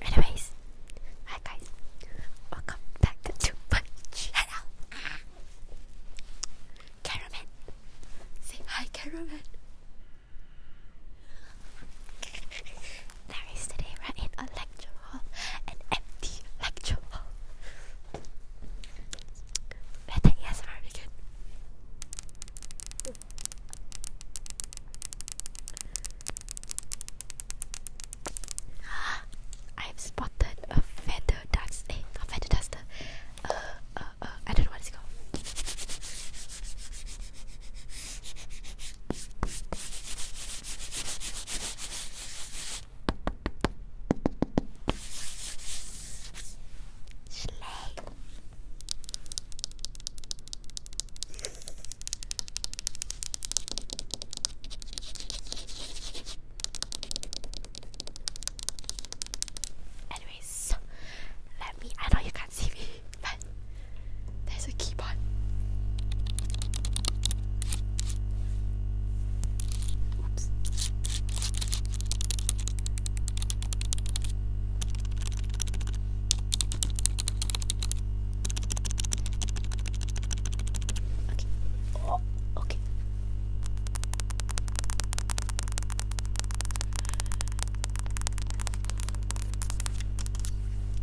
Anyways, hi guys, welcome back to my channel. Caravan, say hi, Caravan. There is today we in a lecture hall, an empty lecture hall. Let the ASMR begin. I've spotted a feather dust. Hey, eh, not feather duster. Uh, uh, uh, I don't know what it's called. Slay. Anyways, let me. I know you can't see me, but there's a keyboard. Oops. Okay. Oh, okay.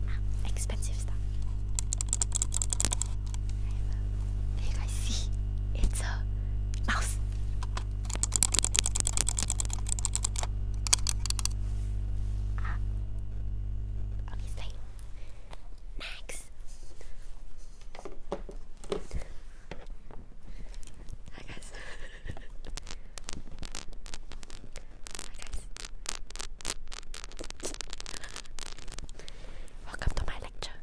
Ah, expensive stuff. Do you guys see? It's a mouse. Ah obviously. Max. Hi guys. Hi guys. Welcome to my lecture.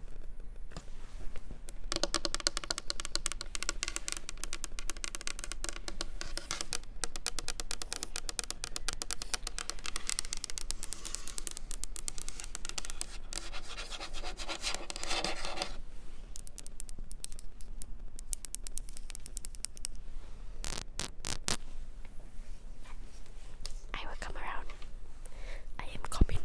I will come around. I am coming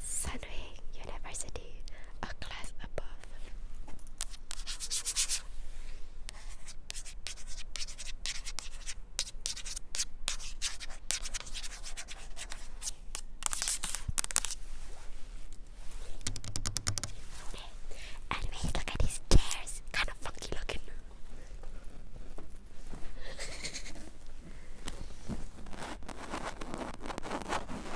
Sunway University a class above. Anyways, look at these chairs, kind of funky looking.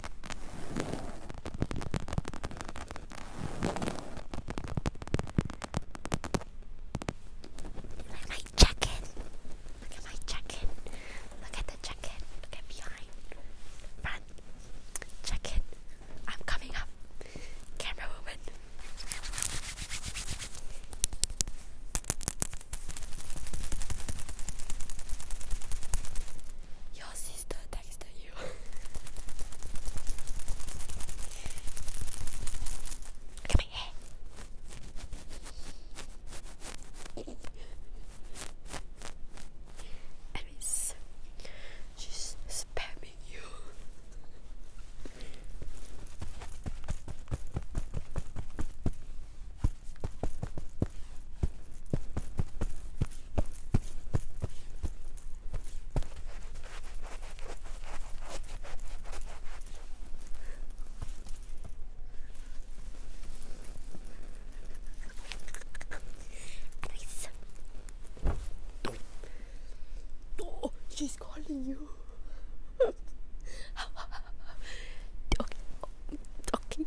Look at my jacket. Look at my jacket. Look at the jacket. Look at behind. Front. Jacket. I'm coming up. Camera woman. Your sister texted you. Look at my hair. she's spamming you. Nice. Oh, she's calling you. okay. Okay.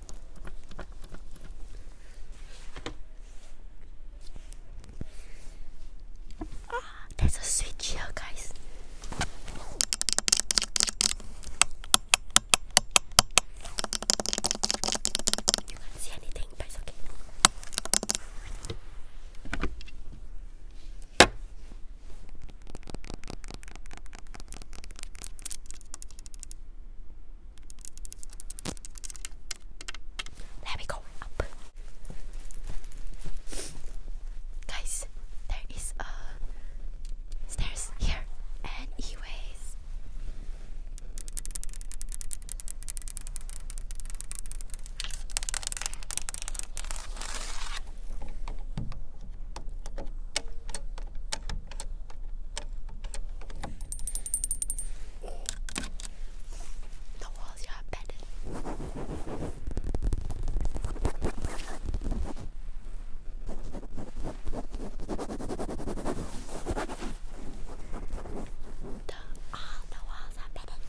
Ah, there's a switch here, guys. You can see anything, but it's there we go, up. Guys, there is a stairs here. And Anyways. The walls are padded. all the walls are bedded.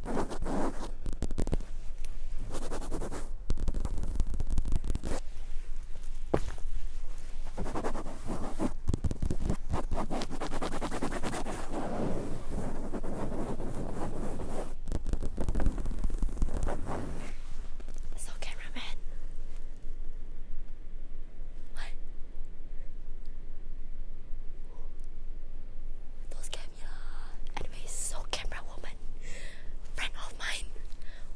So cameraman. What? Those guys yeah. Anyways, so camera woman, friend of mine,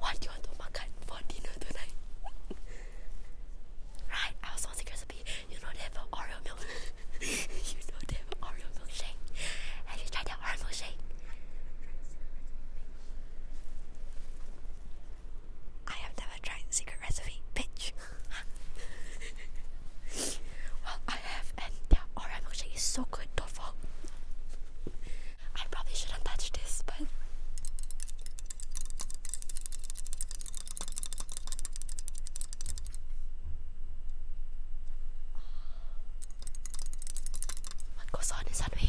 what do you want to makan for dinner tonight? right, I was on secret recipe. You know they have Oreo milkshake. Have you tried that Oreo milkshake? I have never tried secret recipe, bitch. well, I have stuff and yeah, alright is so good, do I probably shouldn't this, but what goes on inside me?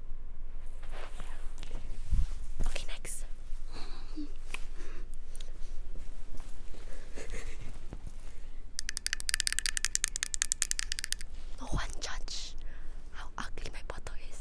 Okay, next. no one judge how ugly my bottle is.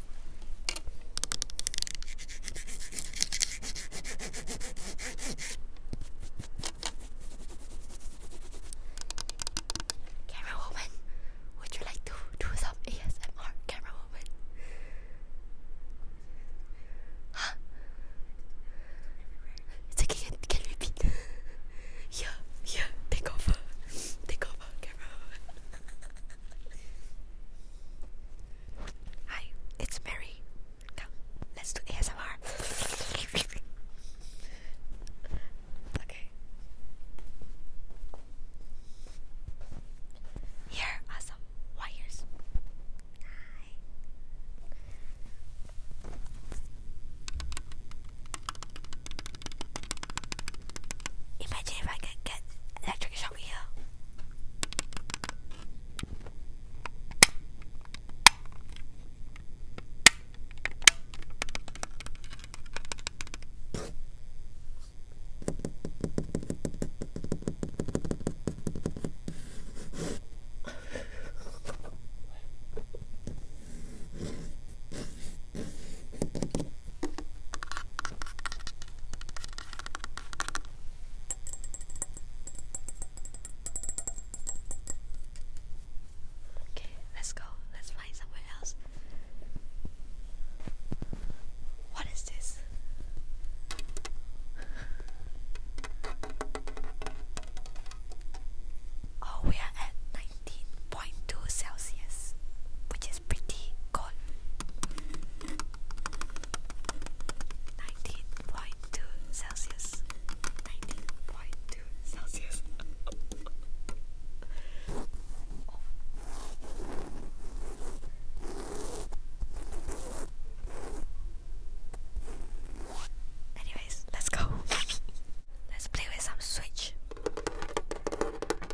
Camera woman, would you like to do some ASMR? Camera woman, huh? It's okay. Can, can you repeat? yeah, yeah. Take over. Take over. Hi, it's Mary. Come, let's do ASMR. okay. Here are wires. Hi. Imagine if I could get electric shock here. Okay, let's go. Let's find somewhere else. What is this? Oh, we are at 19.2 Celsius, which is is pretty cold. 19.2 Celsius. 19.2 Celsius. Oh. Anyways, let's go. let's play with some Switch.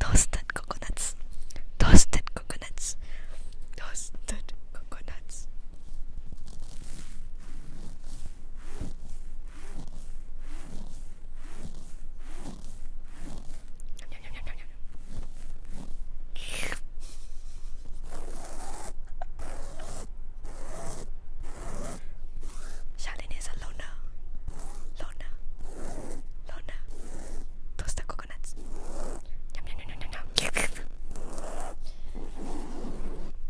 Toasted coconuts. Toasted coconuts. Toasted coconuts. Charlene is Lona, Lona, Lona, toasted coconuts.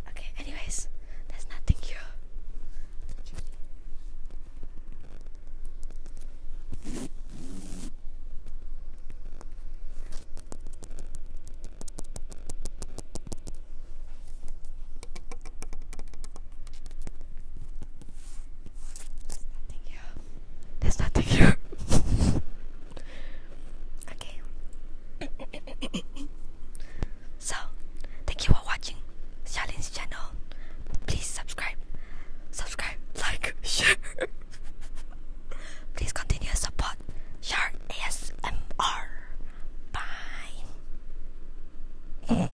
Okay, anyways, there's nothing here nothing here. There's nothing here. okay. so, thank you for watching Xiaolin's channel. Please subscribe, subscribe, like, share. Please continue support Shark ASMR. Bye.